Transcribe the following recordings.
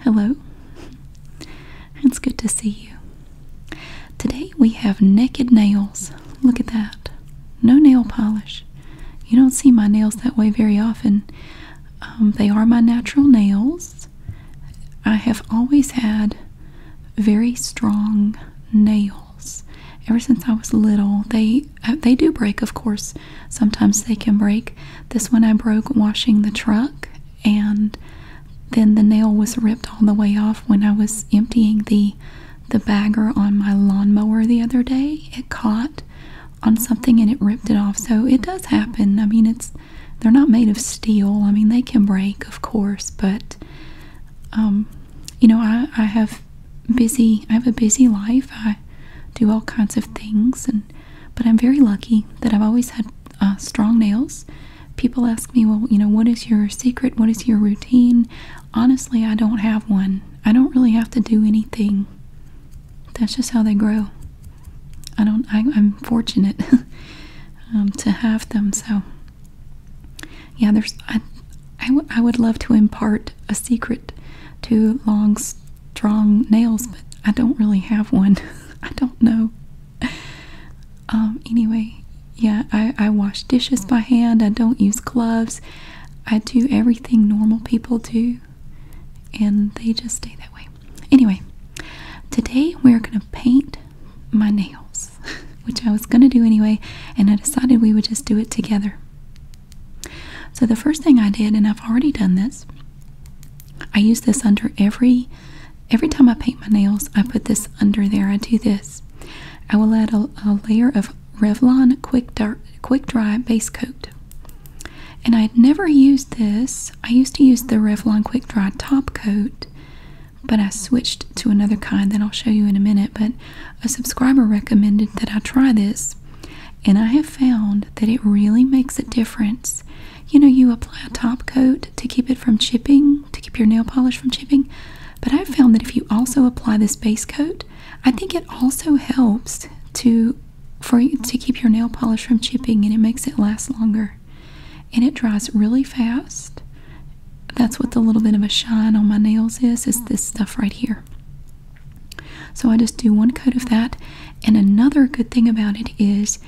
Hello, it's good to see you. Today we have naked nails. Look at that. No nail polish. You don't see my nails that way very often. Um, they are my natural nails. I have always had very strong nails. Ever since I was little, they uh, they do break of course sometimes they can break this one i broke washing the truck and then the nail was ripped all the way off when i was emptying the the bagger on my lawnmower the other day it caught on something and it ripped it off so it does happen i mean it's they're not made of steel i mean they can break of course but um you know i i have busy i have a busy life i do all kinds of things and but I'm very lucky that I've always had uh, strong nails. People ask me, well, you know, what is your secret? What is your routine? Honestly, I don't have one. I don't really have to do anything. That's just how they grow. I don't. I, am fortunate um, to have them. So, yeah, there's. I, I would love to impart a secret to Long's strong nails, but I don't really have one. I don't know. Um, anyway, yeah, I wash dishes by hand. I don't use gloves. I do everything normal people do, and they just stay that way. Anyway, today we're going to paint my nails, which I was going to do anyway, and I decided we would just do it together. So the first thing I did, and I've already done this, I use this under every every time I paint my nails. I put this under there. I do this. I will add a, layer of Revlon Quick Dry, Quick Dry Base Coat. And I'd never used this. I used to use the Revlon Quick Dry Top Coat, but I switched to another kind that I'll show you in a minute. But a subscriber recommended that I try this, and I have found that it really makes a difference. You know, you apply a top coat to keep it from chipping, to keep your nail polish from chipping. But I've found that if you also apply this base coat, I think it also helps to for to keep your nail polish from chipping and it makes it last longer. And it dries really fast. That's what the little bit of a shine on my nails is, is this stuff right here. So I just do one coat of that. And another good thing about it is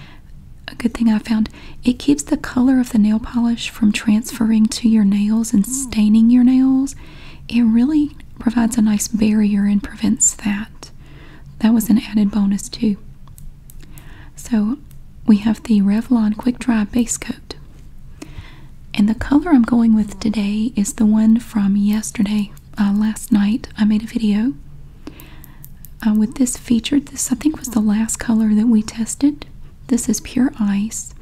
a good thing I found it keeps the color of the nail polish from transferring to your nails and hmm. staining your nails. It really provides a nice barrier and prevents that. That was an added bonus too. So we have the Revlon Quick Dry Base Coat. And the color I'm going with hmm. today is the one from yesterday. Uh, last night I made a video uh, with this featured. This I think was the last color that we tested. This is pure ice,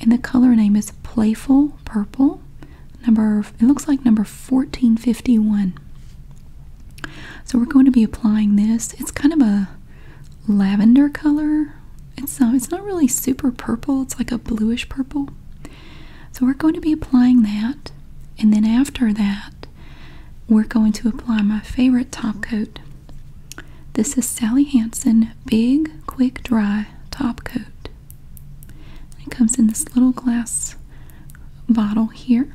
and the color name is Playful Purple. Number it looks like number 1451. So we're going to be applying this. It's kind of a lavender color. It's uh, it's not really super purple. It's like a bluish purple. So we're going to be applying that and then after that we're going to apply my favorite top coat. This is Sally Hansen Big Quick Dry Top Coat. It comes in this little glass bottle here.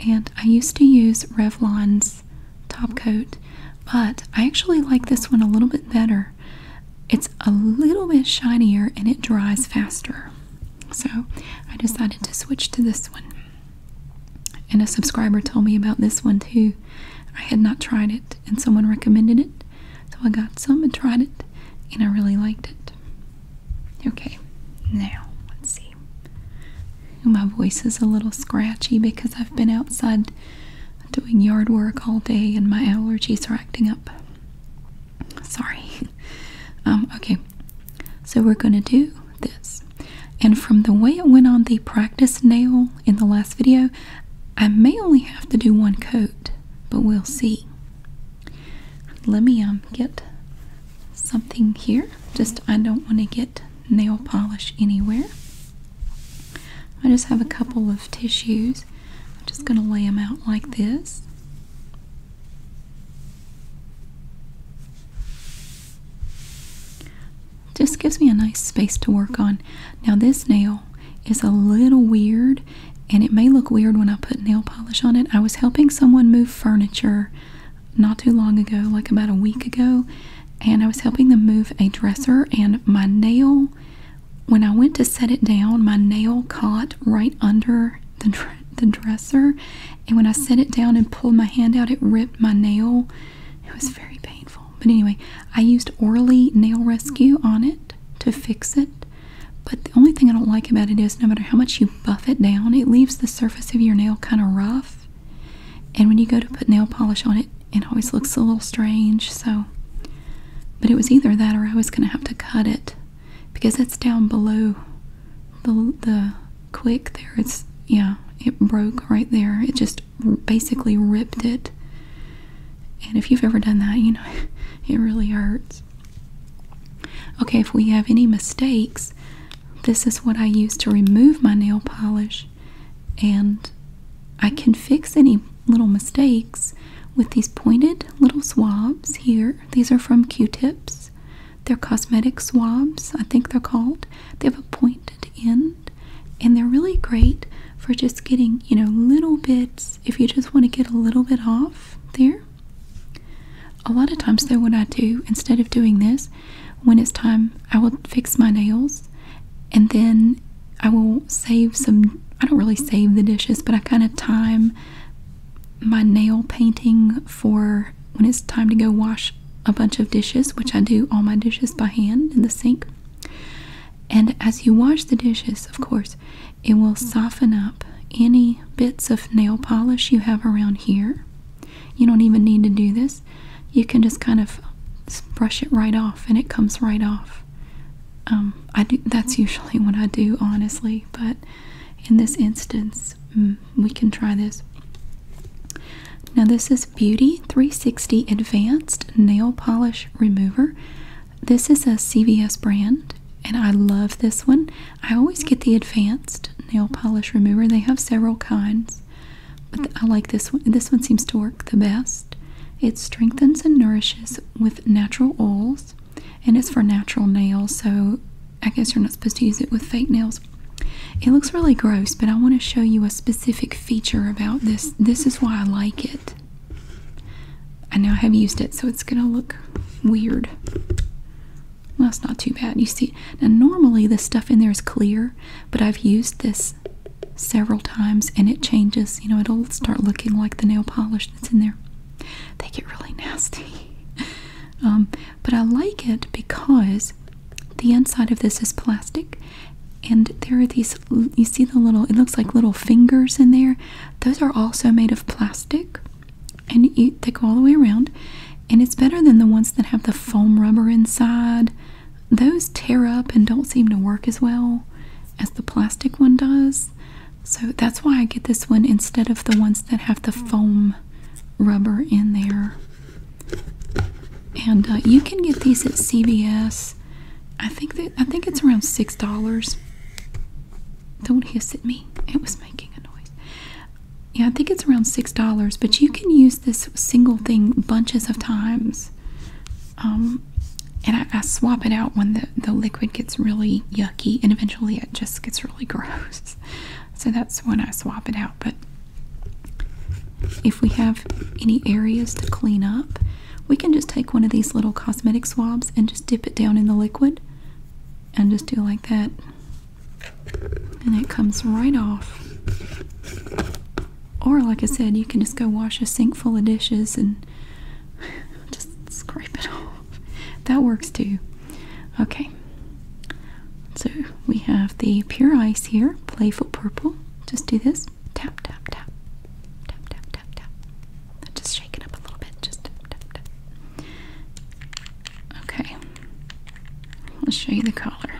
And I used to use Revlon's top coat, but I actually like this one a little bit better it's a little bit shinier and it dries faster. So I decided to switch to this one. And a subscriber told me about this one too. I had not tried it and someone recommended it. So I got some and tried it and I really liked it. Okay, now let's see. My voice is a little scratchy because I've been outside doing yard work all day and my allergies are acting up. Sorry. Um, okay, so we're gonna do this. And from the way it went on the practice nail in the last video, I may only have to do one coat, but we'll see. Let me um get something here. Just I don't want to get nail polish anywhere. I just have a couple of tissues. I'm just going to lay them out like this. Just gives me a nice space to work on. Now this nail is a little weird and it may look weird when I put nail polish on it. I was helping someone move furniture not too long ago, like about a week ago, and I was helping them move a dresser and my nail when I went to set it down, my nail caught right under the, the dresser. And when I set it down and pulled my hand out, it ripped my nail. It was very painful. But anyway, I used Orly Nail Rescue on it to fix it. But the only thing I don't like about it is no matter how much you buff it down, it leaves the surface of your nail kind of rough. And when you go to put nail polish on it, it always looks a little strange. So, but it was either that or I was going to have to cut it because it's down below the the quick there. It's yeah, it broke right there. It just basically ripped it. And if you've ever done that, you know it really hurts. Okay, if we have any mistakes, this is what I use to remove my nail polish, and I can fix any little mistakes with these pointed little swabs here. These are from Q-tips. They're cosmetic swabs, I think they're called. They have a pointed end, and they're really great for just getting, you know, little bits if you just want to get a little bit off there. A lot of times, though, what I do instead of doing this, when it's time, I will fix my nails and then I will save some. I don't really save the dishes, but I kind of time my nail painting for when it's time to go wash a bunch of dishes, which I do all my dishes by hand in the sink. And as you wash the dishes, of course, it will soften up any bits of nail polish you have around here. You don't even need to do this. You can just kind of brush it right off and it comes right off. Um, I do, that's usually what I do, honestly, but in this instance, mm, we can try this. Now, this is Beauty 360 Advanced Nail Polish Remover. This is a CVS brand, and I love this one. I always get the Advanced Nail Polish Remover, they have several kinds, but I like this one. This one seems to work the best. It strengthens and nourishes with natural oils and it's for natural nails, so I guess you're not supposed to use it with fake nails. It looks really gross, but I want to show you a specific feature about this. This is why I like it. I know I have used it, so it's going to look weird. Well, it's not too bad. You see, now normally the stuff in there is clear, but I've used this several times and it changes. You know, it'll start looking like the nail polish that's in there. They get really nasty. Um, but I like it because the inside of this is plastic and there are these you see the little it looks like little fingers in there. Those are also made of plastic and they go all the way around and it's better than the ones that have the foam rubber inside. Those tear up and don't seem to work as well as the plastic one does. So that's why I get this one instead of the ones that have the foam rubber in there. And uh, you can get these at CVS. I think that I think it's around six dollars. Don't hiss at me. It was making a noise. Yeah, I think it's around six dollars, but you can use this single thing bunches of times. Um, and I, swap it out when the the, liquid gets really yucky and eventually it just gets really gross. So that's when I swap it out. But if we have any areas to clean up, we can just take one of these little cosmetic swabs and just dip it down in the liquid and just do like that. And it comes right off. Or, like I said, you can just go wash a sink full of dishes and just scrape it off that works too. Okay, so we have the pure ice here, playful purple. Just do this tap, tap, tap, tap, tap, tap, tap. Just shake it up a little bit. Just tap, tap, tap. Okay, let's show you the color.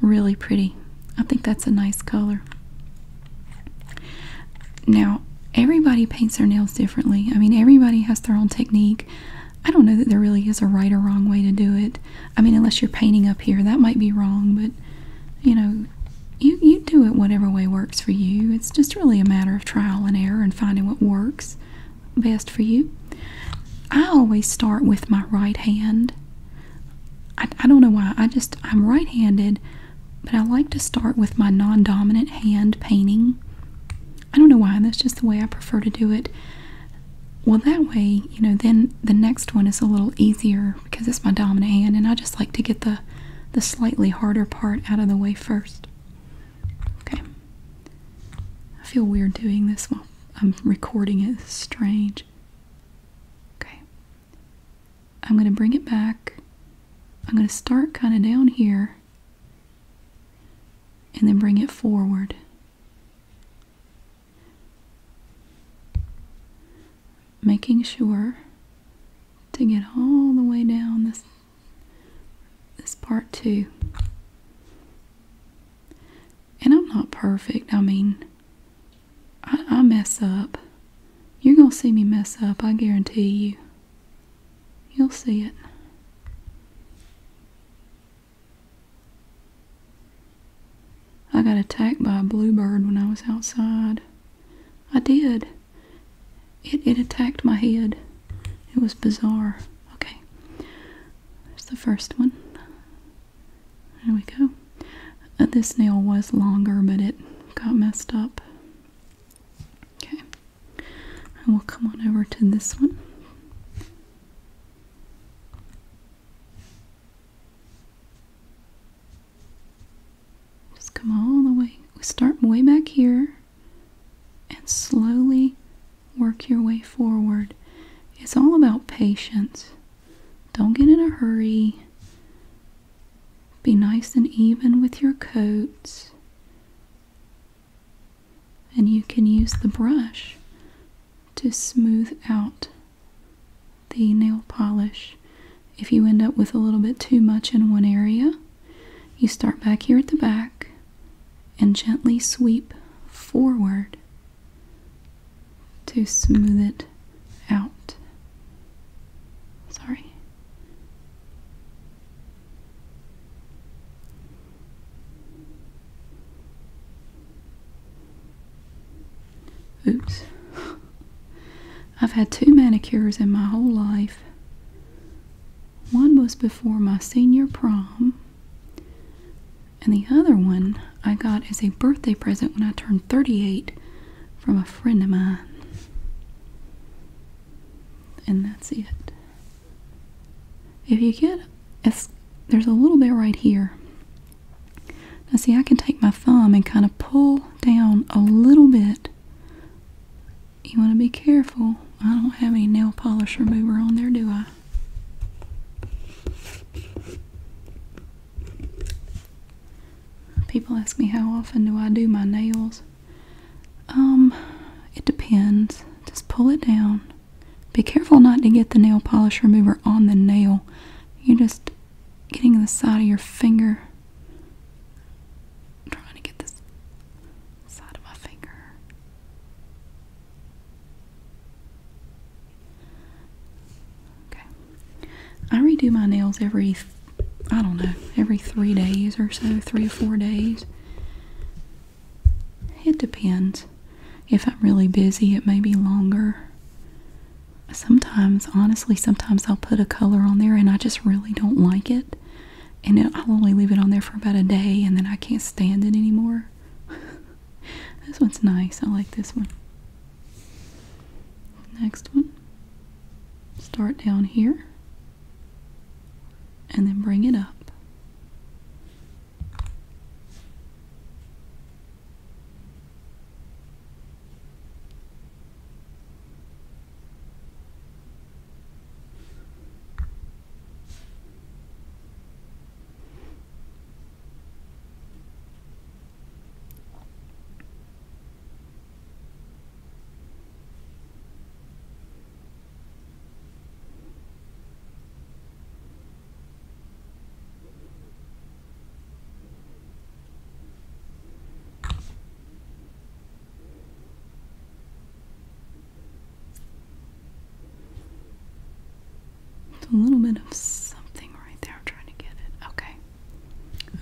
Really pretty. I think that's a nice color. Now, everybody paints their nails differently. I mean, everybody has their own technique. I don't know that there really is a right or wrong way to do it. I mean, unless you're painting up here, that might be wrong, but you know, you, you do it whatever way works for you. It's just really a matter of trial and error and finding what works best for you. I always start with my right hand. I, I don't know why. I just, I'm right handed. But I like to start with my non dominant hand painting. I don't know why, that's just the way I prefer to do it. Well, that way, you know, then the next one is a little easier because it's my dominant hand, and I just like to get the, the slightly harder part out of the way first. Okay. I feel weird doing this while I'm recording it. It's strange. Okay. I'm going to bring it back. I'm going to start kind of down here and then bring it forward. Making sure to get all the way down this this part too. And I'm not perfect. I mean, I, I mess up. You're going to see me mess up, I guarantee you. You'll see it. I got attacked by a bluebird when I was outside. I did. It, it attacked my head. It was bizarre. Okay. There's the first one. There we go. Uh, this nail was longer, but it got messed up. Okay. And we will come on over to this one. Just come all the way. We start way back here and slowly work your way forward. It's all about patience. Don't get in a hurry. Be nice and even with your coats. And you can use the brush to smooth out the nail polish. If you end up with a little bit too much in one area, you start back here at the back and gently sweep forward to smooth it out. Sorry. Oops. I've had two manicures in my whole life. One was before my senior prom, and the other one I got as a birthday present when I turned 38 from a friend of mine and that's it. If you get, it's, there's a little bit right here. Now see, I can take my thumb and kind of pull down a little bit. You want to be careful. I don't have any nail polish remover on there, do I? People ask me how often do I do my nails. Um, it depends. Just pull it down. Be careful not to get the nail polish remover on the nail. You're just getting the side of your finger. i trying to get this side of my finger. Okay. I redo my nails every I don't know, every three days or so, three or four days. It depends. If I'm really busy, it may be longer. Sometimes, honestly, sometimes I'll put a color on there and I just really don't like it. And I'll only leave it on there for about a day and then I can't stand it anymore. this one's nice. I like this one. Next one. Start down here and then bring it up. It's a little bit of something right there. I'm trying to get it. Okay.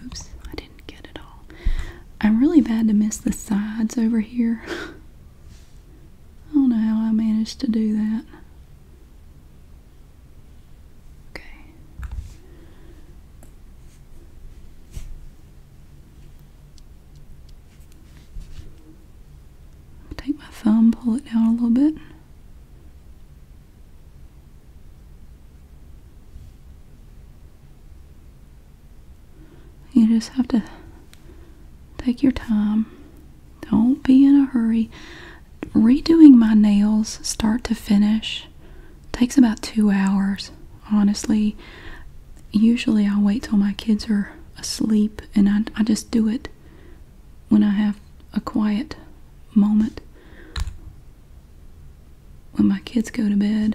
Oops, I didn't get it all. I'm really bad to miss the sides over here. I don't know how I managed to do that. Okay. Take my thumb, pull it down a little bit. You just have to take your time. Don't be in a hurry. Redoing my nails start to finish takes about two hours, honestly. Usually I wait till my kids are asleep and I, I just do it when I have a quiet moment. When my kids go to bed,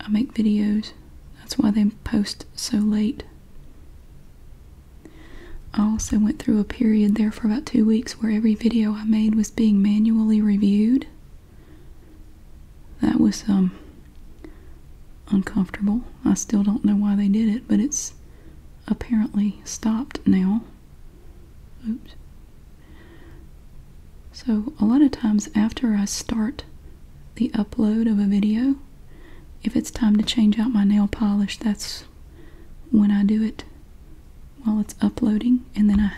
I make videos that's why they post so late. I also went through a period there for about two weeks where every video I made was being manually reviewed. That was um uncomfortable. I still don't know why they did it, but it's apparently stopped now. Oops. So, a lot of times after I start the upload of a video, if it's time to change out my nail polish, that's when I do it while it's uploading. And then I,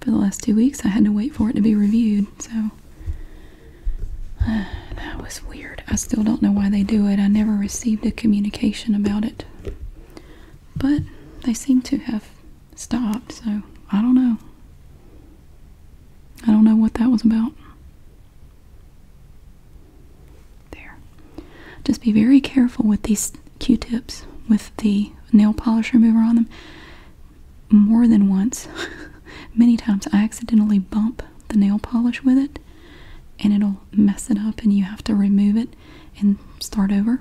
for the last two weeks, I had to wait for it to be reviewed. So, that was weird. I still don't know why they do it. I never received a communication about it. But they seem to have stopped, so I don't know. I don't know what that was about. There. Just be very careful with these Q-tips with the nail polish remover on them. More than once, many times, I accidentally bump the nail polish with it and it'll mess it up and you have to remove it and start over.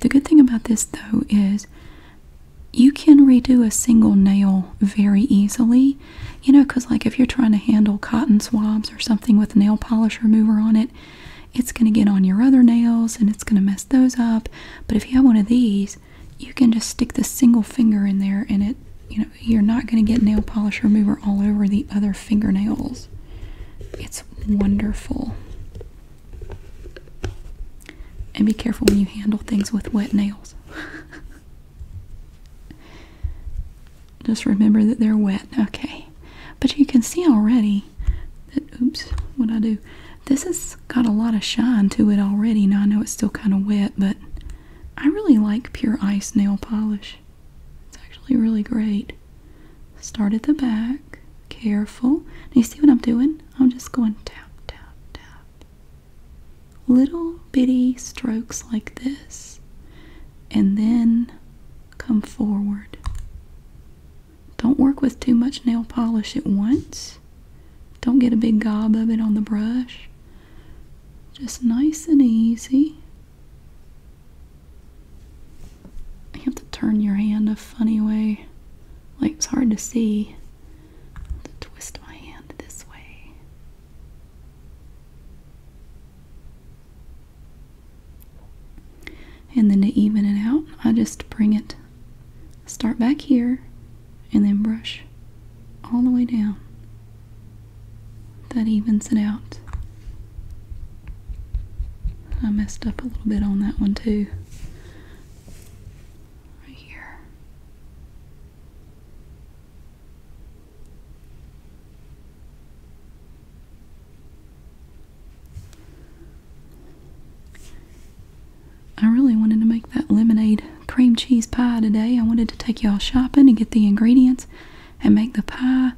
The good thing about this though is you can redo a single nail very easily. You know, because like if you're trying to handle cotton swabs or something with nail polish remover on it, it's going to get on your other nails and it's going to mess those up. But if you have one of these, you can just stick the single finger in there and it, you know, you're not going to get nail polish remover all over the other fingernails. It's wonderful. And be careful when you handle things with wet nails. Just remember that they're wet. Okay. But you can see already that, oops, what I do. This has got a lot of shine to it already. Now I know it's still kind of wet, but I really like Pure Ice nail polish. It's actually really great. Start at the back. Careful. Do you see what I'm doing? I'm just going tap, tap, tap, little bitty strokes like this and then come forward. Don't work with too much nail polish at once. Don't get a big gob of it on the brush. Just nice and easy. You have to turn your hand a funny way. Like it's hard to see to twist my hand this way. And then to even it out, I just bring it, start back here, and then brush all the way down. That evens it out. I messed up a little bit on that one too right here. I really wanted to make that lemonade cream cheese pie today. I wanted to take y'all shopping and get the ingredients and make the pie,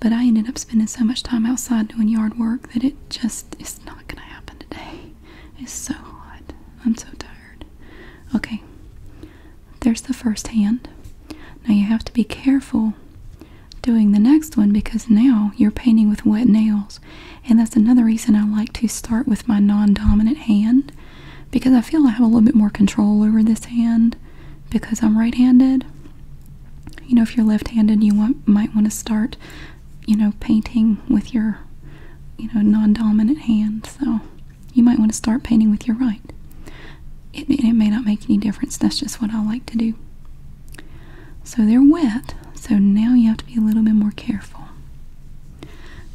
but I ended up spending so much time outside doing yard work that it just is not going to happen today. It's so hot. I'm so tired. Okay, there's the first hand. Now you have to be careful doing the next one because now you're painting with wet nails. And that's another reason I like to start with my non dominant hand because I feel I have a little bit more control over this hand because I'm right handed. You know, if you're left handed, you might want to start you know, painting with your, you know, non-dominant hand. So you might want to start painting with your right. It, it may not make any difference. That's just what I like to do. So they're wet. So now you have to be a little bit more careful.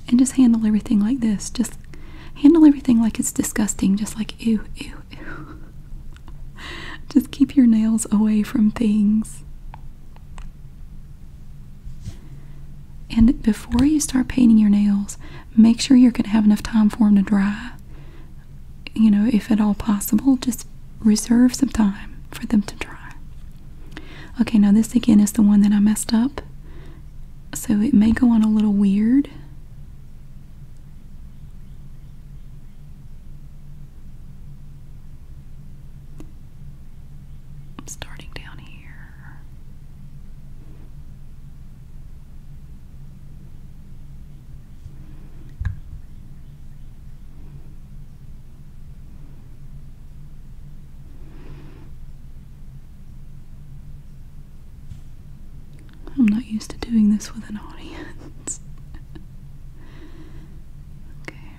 And just handle everything like this. Just handle everything like it's disgusting. Just like ew, ew, ew. Just keep your nails away from things. And before you start painting your nails, make sure you're going to have enough time for them to dry. You know, if at all possible, just reserve some time for them to dry. Okay, now this again is the one that I messed up. So it may go on a little weird starting down here. I'm not used to doing this with an audience. okay.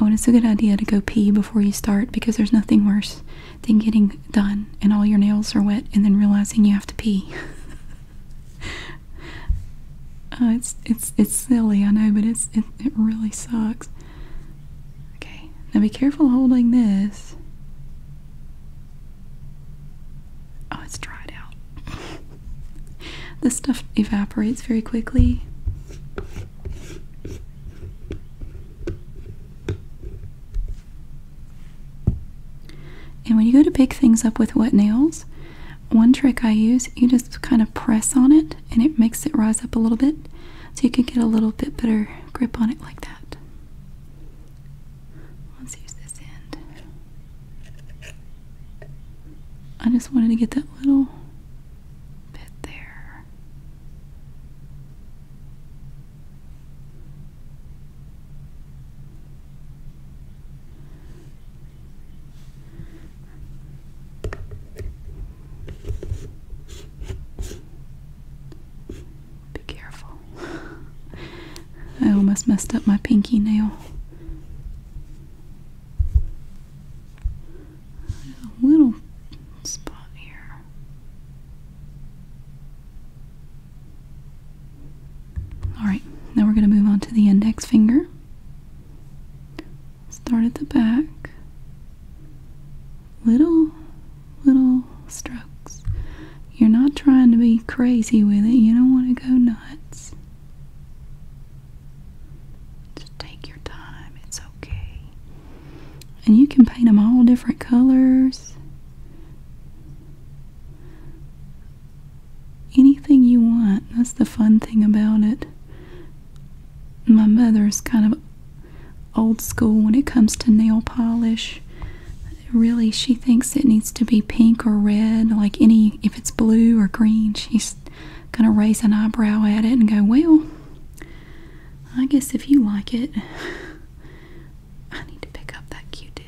Oh, and it's a good idea to go pee before you start because there's nothing worse than getting done and all your nails are wet and then realizing you have to pee. Uh, it's it's it's silly, I know, but it's it really sucks. Okay, now be careful holding this. Oh, it's dried out. this stuff evaporates very quickly. And when you go to pick things up with wet nails, one trick I use, you just kind of press on it and it makes it rise up a little bit so you can get a little bit better grip on it like that. Let's use this end. I just wanted to get that little bit there. Be careful. I almost messed up my pinky nail. a little spot here. Alright, now we're going to move on to the index finger. Start at the back little, little strokes. You're not trying to be crazy with it. You don't want to go nuts. Just take your time. It's okay. And you can paint them all different colors. Anything you want. That's the fun thing about it. My mother's kind of old school when it comes to nail polish. Really, she thinks it needs to be pink or red, like any, if it's blue or green, she's gonna raise an eyebrow at it and go, Well, I guess if you like it, I need to pick up that Q tip.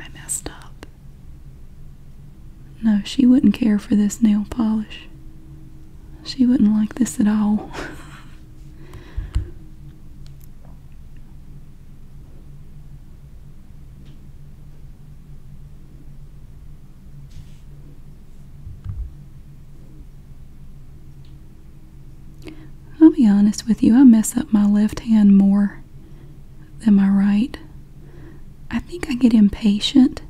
I messed up. No, she wouldn't care for this nail polish. She wouldn't like this at all. I'll be honest with you, I mess up my left hand more than my right. I think I get impatient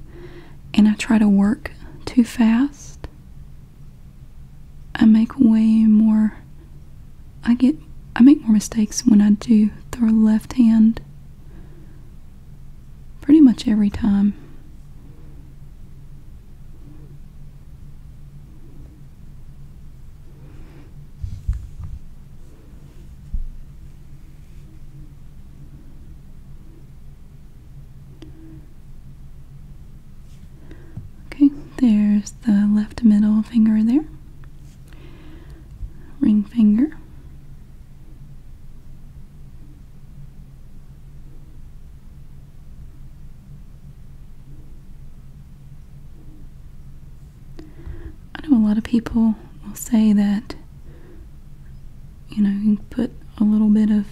and I try to work too fast. I make way more I get I make more mistakes when I do throw left hand pretty much every time. Okay, there's the left middle finger there. Ring finger. I know a lot of people will say that you know, you can put a little bit of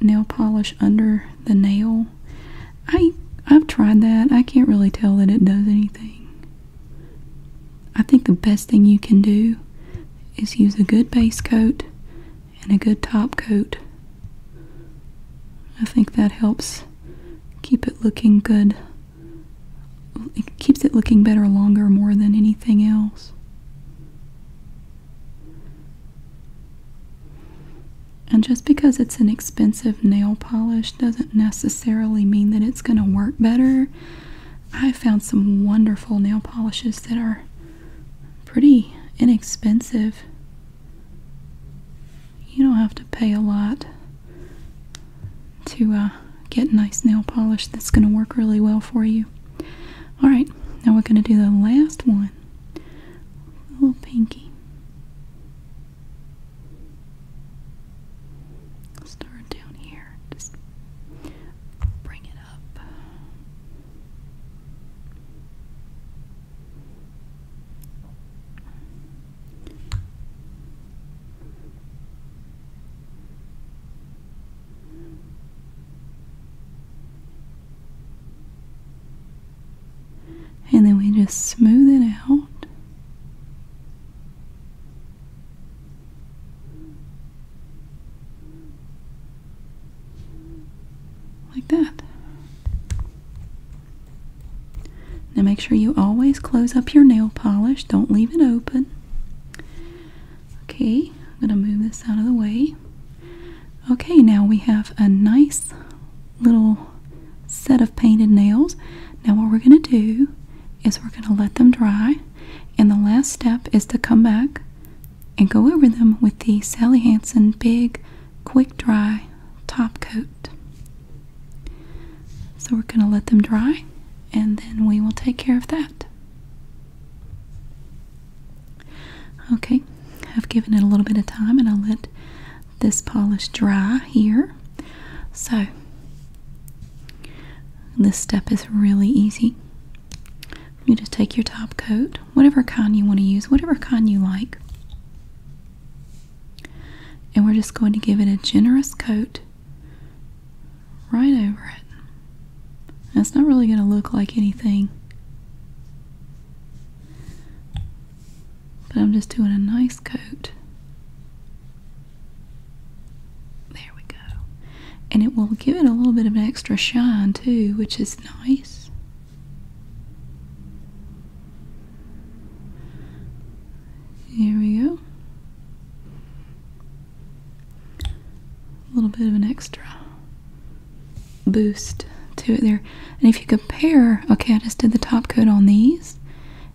nail polish under the nail. I I've tried that. I can't really tell that it does anything. I think the best thing you can do is use a good base coat and a good top coat. I think that helps keep it looking good. It keeps it looking better longer more than anything else. And just because it's an expensive nail polish doesn't necessarily mean that it's going to work better. I found some wonderful nail polishes that are pretty inexpensive. You don't have to pay a lot to uh, get nice nail polish that's going to work really well for you. Alright, now we're going to do the last one. Little pinky. Start down here. Just bring it up. And then we just smooth it out. Like that. Now make sure you always close up your nail polish. Don't leave it open. Okay, I'm going to move this out of the way. Okay, now we have a nice little set of painted nails. Now what we're going to do is we're going to let them dry and the last step is to come back and go over them with the Sally Hansen Big Quick Dry Top Coat. So we're going to let them dry and then we will take care of that. Okay, I've given it a little bit of time and I'll let this polish dry here. So, this step is really easy. You just take your top coat, whatever kind you want to use, whatever kind you like, and we're just going to give it a generous coat right over it. That's not really going to look like anything. But I'm just doing a nice coat. There we go. And it will give it a little bit of an extra shine too, which is nice. Here we go. A little bit of an extra boost to it there. And if you compare, okay, I just did the top coat on these.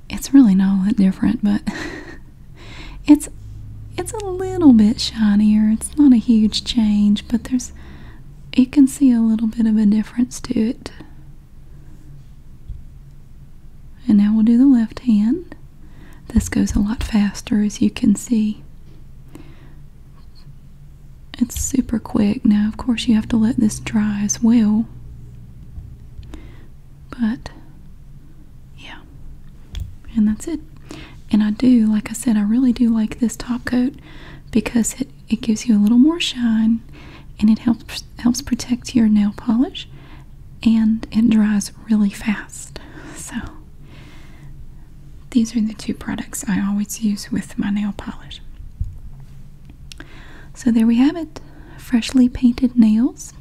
It's really not that different, but it's it's a little bit shinier. It's not a huge change, but there's you can see a little bit of a difference to it. And now we'll do the left hand. This goes a lot faster as you can see. It's super quick. Now, of course, you have to let this dry as well. But, yeah. And that's it. And I do, like I said, I really do like this top coat because it, it gives you a little more shine and it helps, helps protect your nail polish and it dries really fast. So, these are the two products I always use with my nail polish. So there we have it. Freshly painted nails.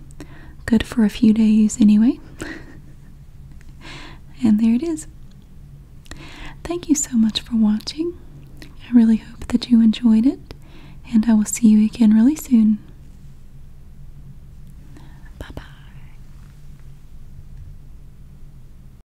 Good for a few days anyway. and there it is. Thank you so much for watching. I really hope that you enjoyed it, and I will see you again really soon. Bye bye.